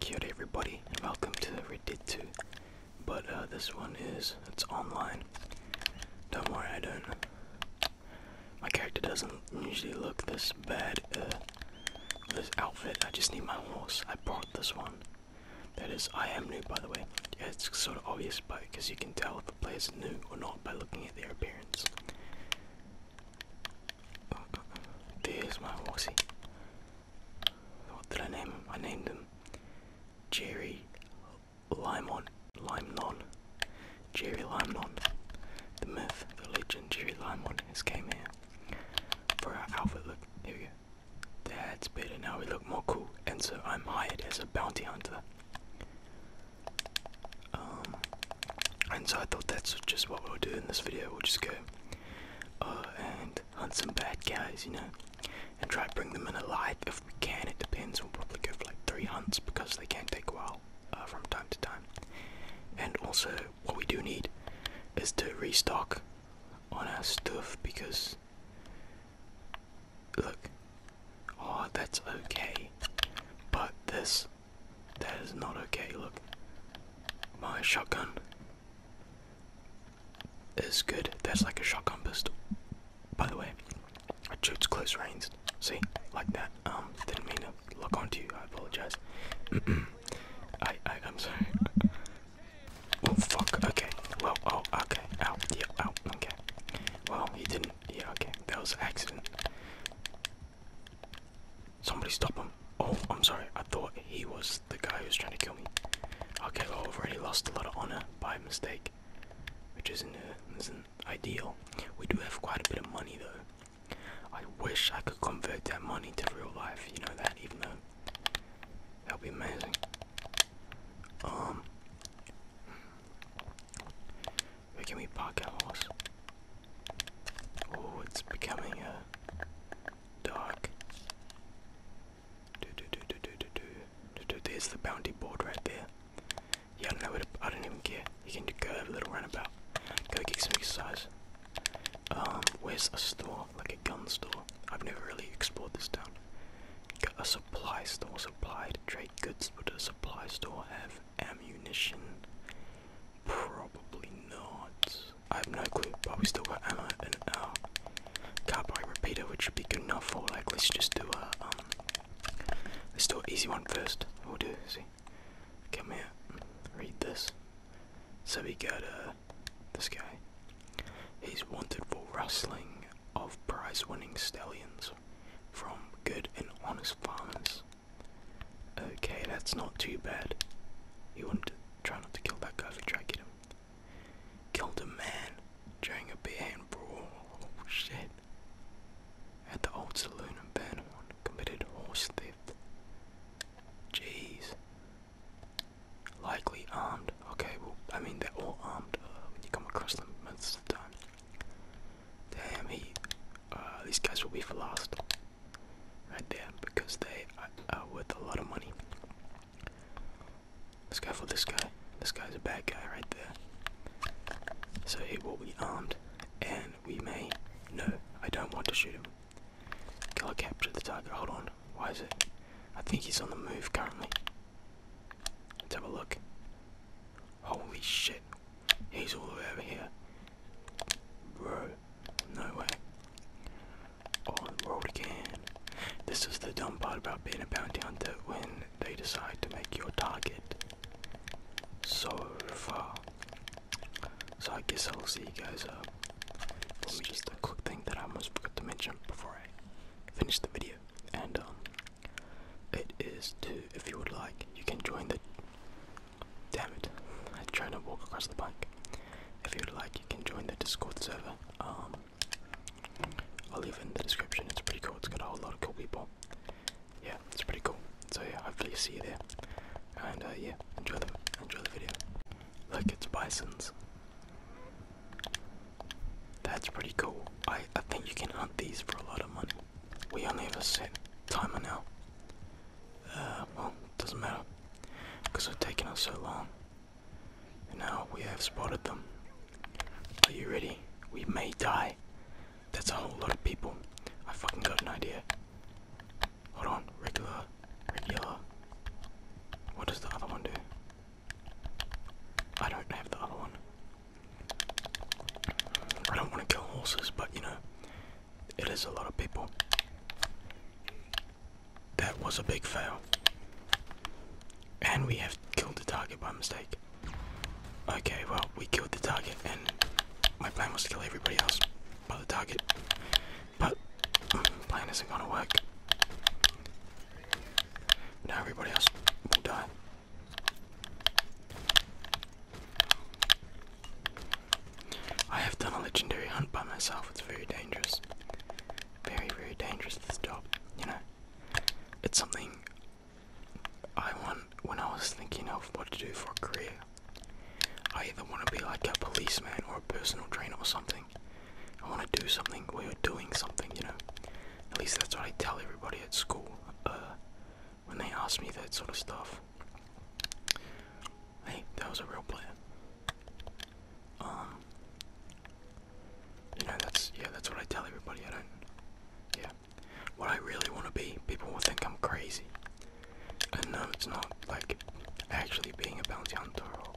Kia everybody and welcome to Reddit 2 but uh, this one is it's online don't worry I don't my character doesn't usually look this bad. Uh, this outfit. I just need my horse. I bought this one. That is, I am new, by the way. it's sort of obvious, but because you can tell if the is new or not by looking at their appearance. there's my horsey. What did I name him? I named him Jerry Limon, Limnon, Jerry Limnon. The myth, the legend, Jerry Limon has came here. For our outfit look, here we go. That's better, now we look more cool, and so I'm hired as a bounty hunter. Um, and so I thought that's just what we'll do in this video, we'll just go uh, and hunt some bad guys, you know, and try to bring them in alive we can, it depends, we'll probably go for like three hunts because they can take a while uh, from time to time. And also, what we do need is to restock on our stuff because. Look. Oh, that's okay. But this. That is not okay. Look. My shotgun is good. That's like a shotgun pistol. By the way, I shoots close range. See, like that. Um, didn't mean to look onto you. I apologize. I, I, am sorry. oh fuck. Okay. Well. Oh. Okay. Ow. Yeah. Ow. Okay. Well, he didn't. Yeah. Okay. That was accident. Somebody stop him. Oh, I'm sorry. I thought he was the guy who was trying to kill me. Okay, well, I've already lost a lot of honor by mistake, which isn't, uh, isn't ideal. We do have quite a bit of money though. I wish I could convert that money to real life, you know that, even though that'd be amazing. Um where can we park our horse? Oh, it's becoming a uh, dark. do, do, do, do, do, do, do, do. There's the bounty board right there. Yeah, I don't I don't even care. You can go have a little runabout. Go get some exercise. Um, where's a store? Like a gun store. I've never really explored this town. Got a supply store, supply to trade goods. But a supply store have ammunition? Probably not. I have no clue, but we still got ammo in our uh, carbine repeater, which should be good enough for like let's just do a um Let's do an easy one first. We'll do, see. Come here, uh, read this. So we got uh, this guy. He's wanted for rustling of prize winning stallions from good and honest farmers. Okay, that's not too bad. He wanted to try not to kill that guy for trying to get him. Killed a man during a beer and brawl. Oh shit at the old saloon in Burnhorn committed horse theft. Jeez. Likely armed. Okay, well, I mean, they're all armed uh, when you come across them most of the time. Damn, he. Uh, these guys will be for last. Right there, because they are uh, worth a lot of money. Let's go for this guy. This guy's a bad guy right there. So hit what we armed, and we may. No, I don't want to shoot him. Can I capture the target? Hold on. Why is it? I think he's on the move currently. Let's have a look. Holy shit. He's all the way over here. Bro, no way. On the world again. This is the dumb part about being a bounty hunter when they decide to make your target. So far. So I guess I will see you guys up. Let me just a quick thing that I almost forgot to mention before I finish the video. And um it is to if you would like, you can join the Damn it. I am trying to walk across the bike. If you would like you can join the Discord server. Um I'll leave in the description. It's pretty cool. It's got a whole lot of cool people. Yeah, it's pretty cool. So yeah, hopefully you see you there. And uh, yeah, enjoy the enjoy the video. Look, it's bisons. That's pretty cool. I I think you can hunt these for a lot of money. We only have a set timer now. Uh, well, doesn't matter because we it's taken us so long. And now we have spotted them. Are you ready? We may die. That's a whole lot of people. I fucking got an idea. Hold on, regular, regular. What does the other one do? I don't have the other one. I don't want to kill horses, but you know, it is a lot of people. That was a big fail. And we have killed the target by mistake. Okay, well, we killed the target, and my plan was to kill everybody else by the target. But, mm, plan isn't gonna work. Now everybody else will die. I have done a legendary hunt by myself. It's very dangerous. Very, very dangerous this job, you know. It's something I want when I was thinking of what to do for a career. I either want to be like a policeman or a personal trainer or something. I want to do something where you're doing something, you know. At least that's what I tell everybody at school uh, when they ask me that sort of stuff. Hey, that was a real plan. Um, you know, that's yeah, that's what I tell everybody. I don't, yeah, what I really want to be. People will think I'm crazy. I know it's not like actually being a bounty hunter or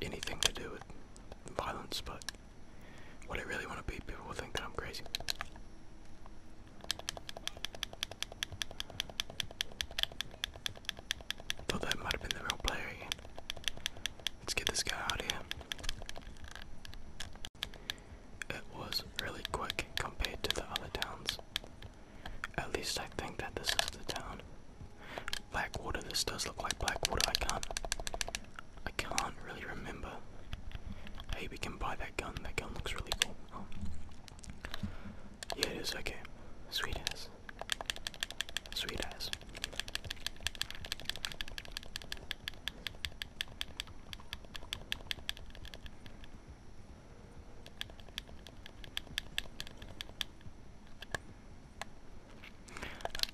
anything to do with violence, but what I really want to be, people will think that I'm crazy. Thought that might have been the real player Let's get this guy out of here. It was really quick compared to the other towns. At least I think that this is the town. Blackwater, this does look like Blackwater. I can't I can't really remember. Hey, we can buy that gun. That gun looks really cool. Oh. Yeah, it is. Okay. Sweet ass. Sweet ass.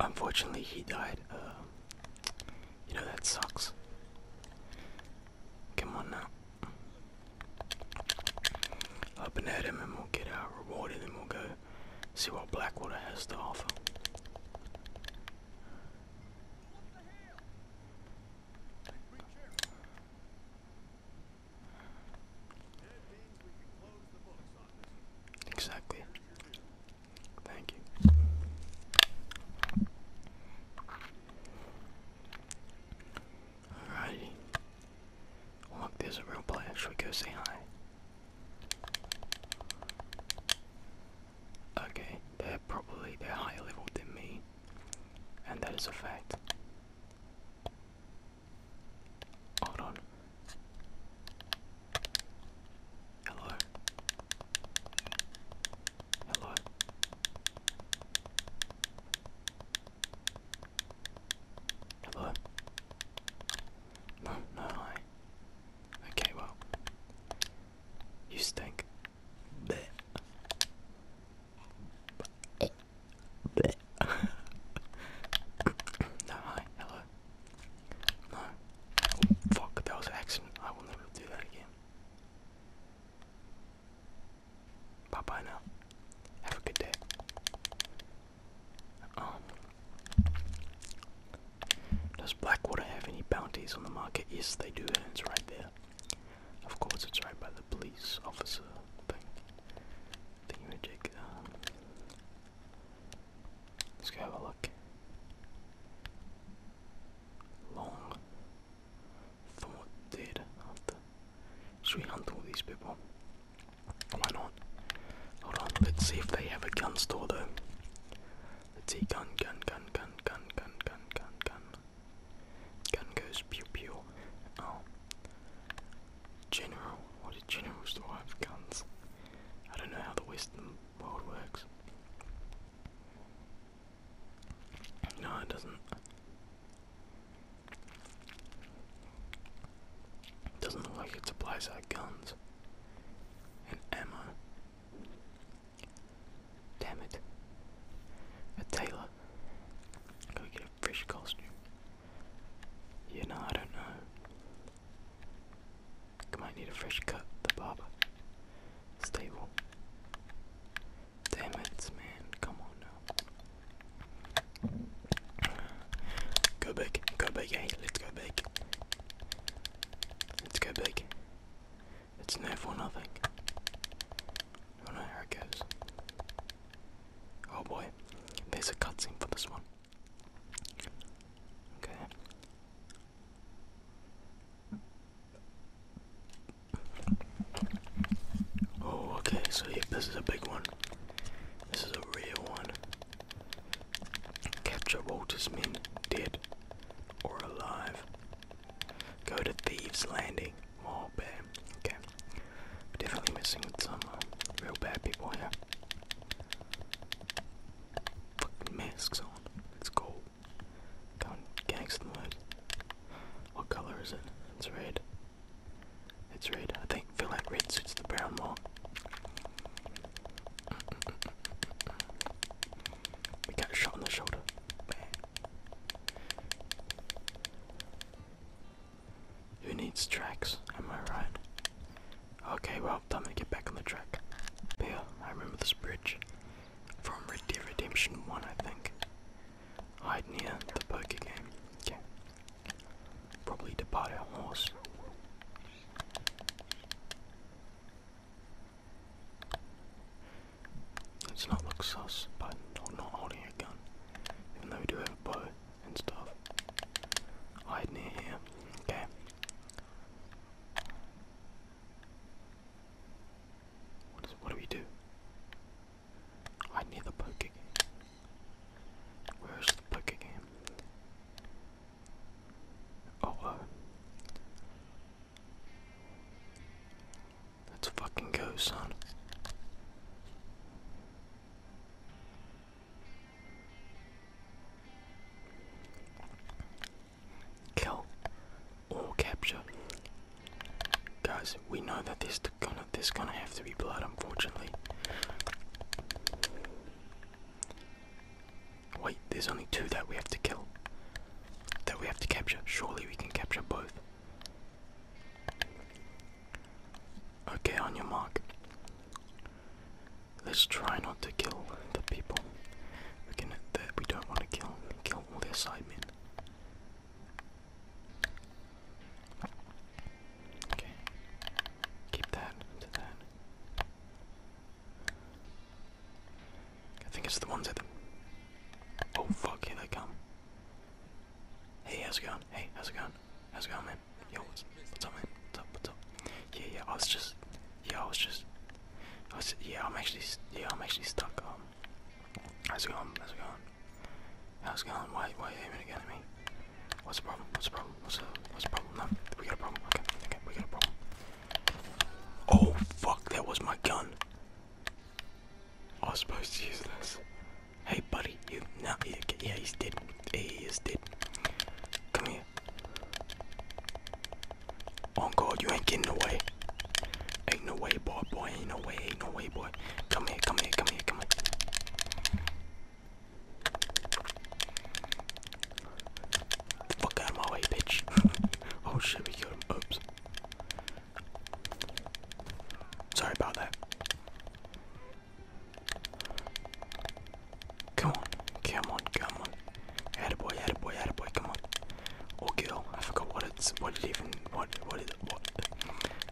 Unfortunately, he died. Uh, you know, that sucks. Come on now. Up and at him, and we'll get our reward, and then we'll go see what Blackwater has to offer. Exactly. Thank you. Alrighty. Look, there's a real player. Should we go say hi? Okay, they're probably they're higher level than me, and that is a fact. Hold on. Hello. Hello. Hello. No, no hi. Okay, well. You stink. Bleh. Bleh. no hi, hello. No. Oh, fuck, that was an accident. I will never do that again. Bye bye now. Have a good day. Um, does Blackwater have any bounties on the market? Yes, they do, and it's right there. Of course, it's right by the police officer thing. Um, let's go have a look. Long thought dead after. Should we hunt all these people? Why not? Hold on, let's see if they have a gun store though. Let's see, gun, gun, gun, gun, gun, gun, gun, gun, gun. Gun goes pew pew. Oh. General, what did general store have guns? I don't know how the Western world works. No, it doesn't. Doesn't look like it supplies our guns and ammo. Damn it. A tailor. I get a fresh costume. Yeah, no, I don't know. might need a fresh cut, the barber. Stable. Damn it, man. Come on now. Go big, go big, hey, let's go big. Let's go big. It's no for nothing. Oh no, here it goes. Oh boy, there's a cutscene for this one. Okay. Oh, okay, so this is a big one. This is a real one. Capture Walter's men, dead or alive. Go to Thieves Landing. Oh, bad. Okay. definitely messing with some uh, real bad people here. Fucking masks on. Let's go. Go and gangster mode. What color is it? It's red. It's red. I think feel like red suits the brown more. We got a shot on the shoulder. Who needs tracks? Am I right? Okay, well, I'm going to get back on the track. But yeah, I remember this bridge from Red Dead Redemption 1, I think. Hide near the poker game. Okay. Probably the powder horse. Let's not look sus, but not holding a gun. Even though we do have a bow and stuff. Hide near here. Okay. what do we do? I need the poke Where's the poke game? Oh, uh, Let's fucking go, son. Kill or capture. Guys, we know that there's gonna there's gonna have to be blood, unfortunately. Wait, there's only two that we have to kill. That we have to capture. Surely we can capture both. Okay, on your mark. Let's try not to kill the people we can, that we don't want to kill. Kill all their sidemen. Okay. Keep that to that. I think it's the ones at the Oh fuck, here they come. Hey, how's it going? Hey, how's it going? How's it going, man? Yo, what's, up, man? What's up? What's up? Yeah, yeah. I was just, yeah, I was just, I was, yeah. I'm actually, yeah, I'm actually stuck. Um, how's it going? How's it going? How's it going? Why, are you aiming again at me? What's the problem? What's the problem? What's the, problem? No, we got a problem. Okay, okay, we got a problem. Oh, fuck, that was my gun. I was supposed to use this. Hey, buddy, you, no, yeah, yeah he's dead. He is dead. Come here. Oh, God, you ain't getting away. Ain't no way, boy, boy. Ain't no way, ain't no way, boy. Come here, come here, come here, come here. Fuck out of my way, bitch. oh shit, we killed him. Oops. Sorry about that. Come on, come on, come on. Attaboy, attaboy, attaboy, come on. Or girl, I forgot what it's, what it even, what, what is it, what.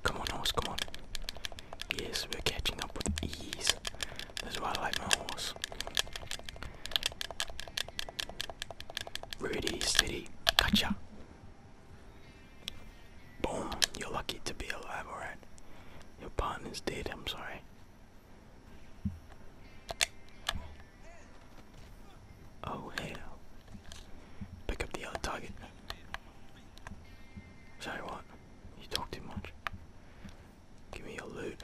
Come on, horse, come on. Yes, we're catching up with ease. That's why I like my horse. Ready, steady, gotcha. Boom, you're lucky to be alive, alright? Your partner's dead, I'm sorry. Oh hell. Pick up the other target. Sorry what? You talk too much. Give me your loot.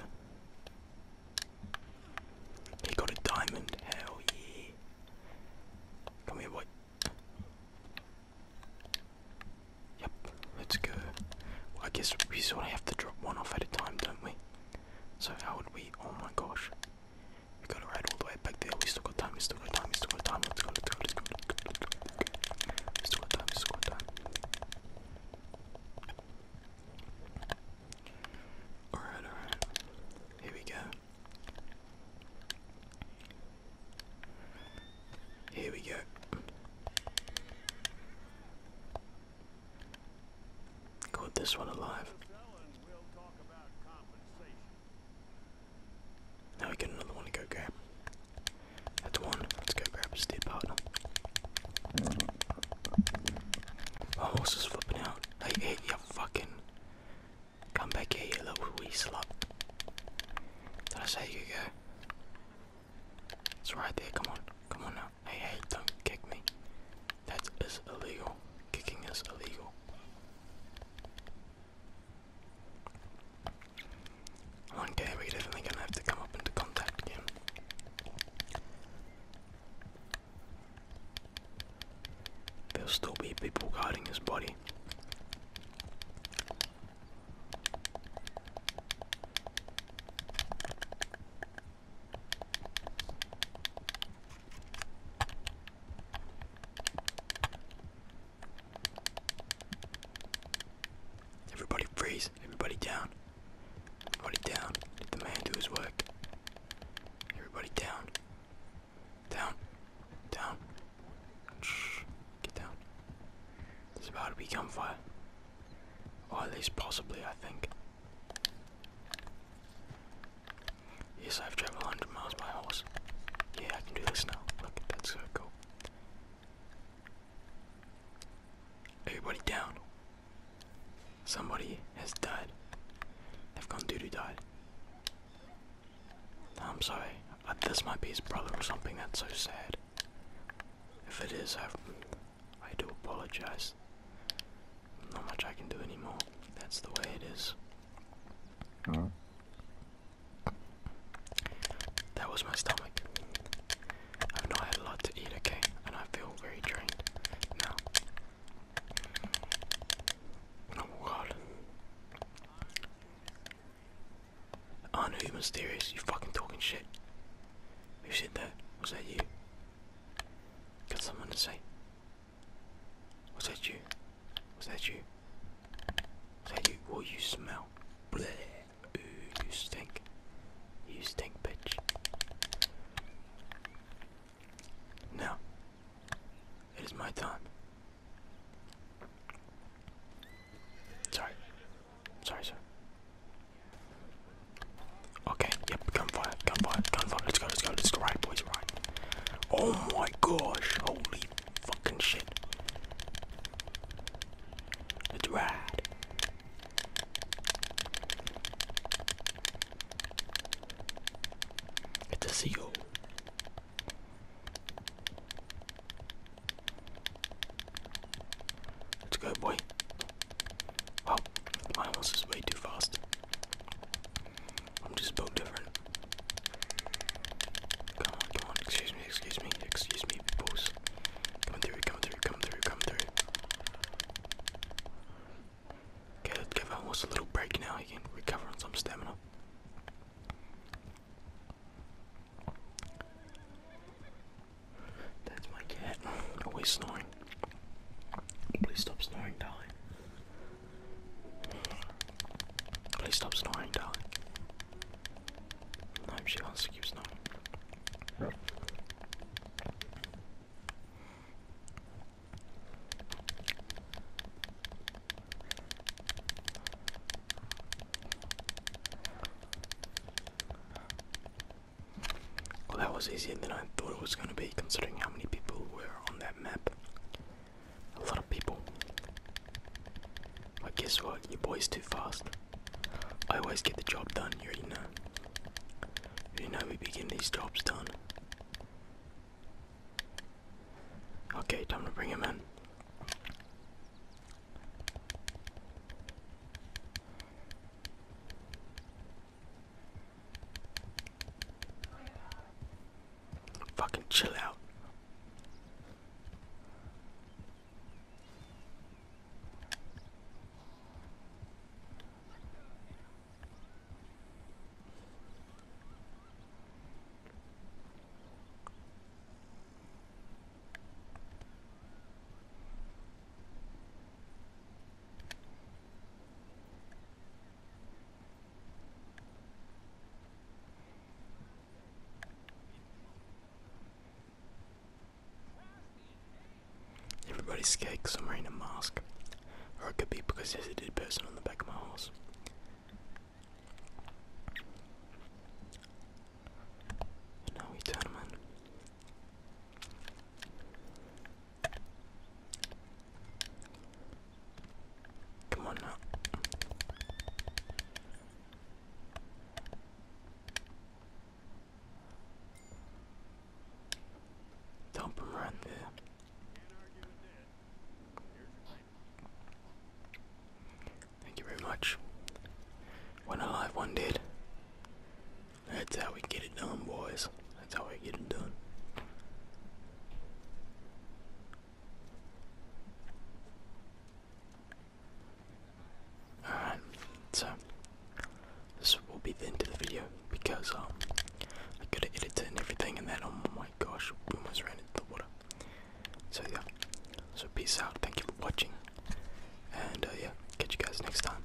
He got a diamond. Hell yeah. Come here, boy. Yep, let's go. I guess we sort of have to drop one off at a time, don't we? So how would we? Oh my gosh. We gotta ride all the way back there. We still got time. We still got time. We still got time. Let's go. Let's go. Let's go. Let's go. Let's go. We still got time. We still got time. All right. All right. Here we go. Here we go. Got this one alive. We'll talk about compensation. Now we get another one to go grab. That's one. Let's go grab a step partner. My horse is flipping out. Hey, hey, you fucking. Come back here, you little wee slut. Did I say you go? It's right there, come on. Come on now. Hey, hey, don't kick me. That is illegal. Kicking is illegal. One we're definitely gonna have to come up into contact again. There'll still be people guarding his body. Everybody freeze. Everybody down. Everybody down. Let the man do his work. Everybody down. Down. Down. Shh. Get down. There's about to be gunfire. Or at least possibly, I think. Yes, I've traveled 100 miles by horse. Yeah, I can do this now. Look, that's so cool. Everybody down. Somebody has died. They've gone doo-doo died. I'm sorry. Uh, this might be his brother or something. That's so sad. If it is, I do apologize not much I can do anymore. That's the way it is. That was my stomach. I've not had a lot to eat, okay? And I feel very drained now. Oh god. I know you're mysterious, you fucking talking shit. Who said that? Was that you? Got someone to say? Was that you? Was that you? Was that you? Oh, you smell. Bleh. Ooh, you stink. You stink, bitch. Now, it is my time. Sorry. Sorry, sir. Okay, yep, come come gunfire, come gunfire. Let's go, let's go, let's go. Right, boys, Oh my gosh, holy fucking shit. It's rad. It's a seal. Let's go, boy. Oh, mine was just way too fast. I'm just built different. Come on, come on, excuse me, excuse me, excuse me, boss. Come through, come through, come through, come through. Okay, let's give almost a little break now. He can recover on some stamina. That's my cat. Always snoring. Please stop snoring, darling. Please stop snoring, darling. I am she wants to keep snoring. Well, that was easier than I thought it was going to be, considering how many people were on that map. A lot of people. But guess what? Your boy's too fast. I always get the job done, you know. You know we begin these jobs done. Okay, time to bring him in. Fucking chill out. Everybody's scared because I'm wearing a mask. Or it could be because there's a dead person on the back of my horse. now we turn him in. Come on now. Dump him right there. Thank you very much. One alive, one dead. That's how we get it done, boys. That's how we get it done. Alright, so this will be the end of the video because um I gotta edit it and everything and then oh my gosh we almost ran into the water. So yeah. So peace out, thank you for watching. And uh, yeah, catch you guys next time.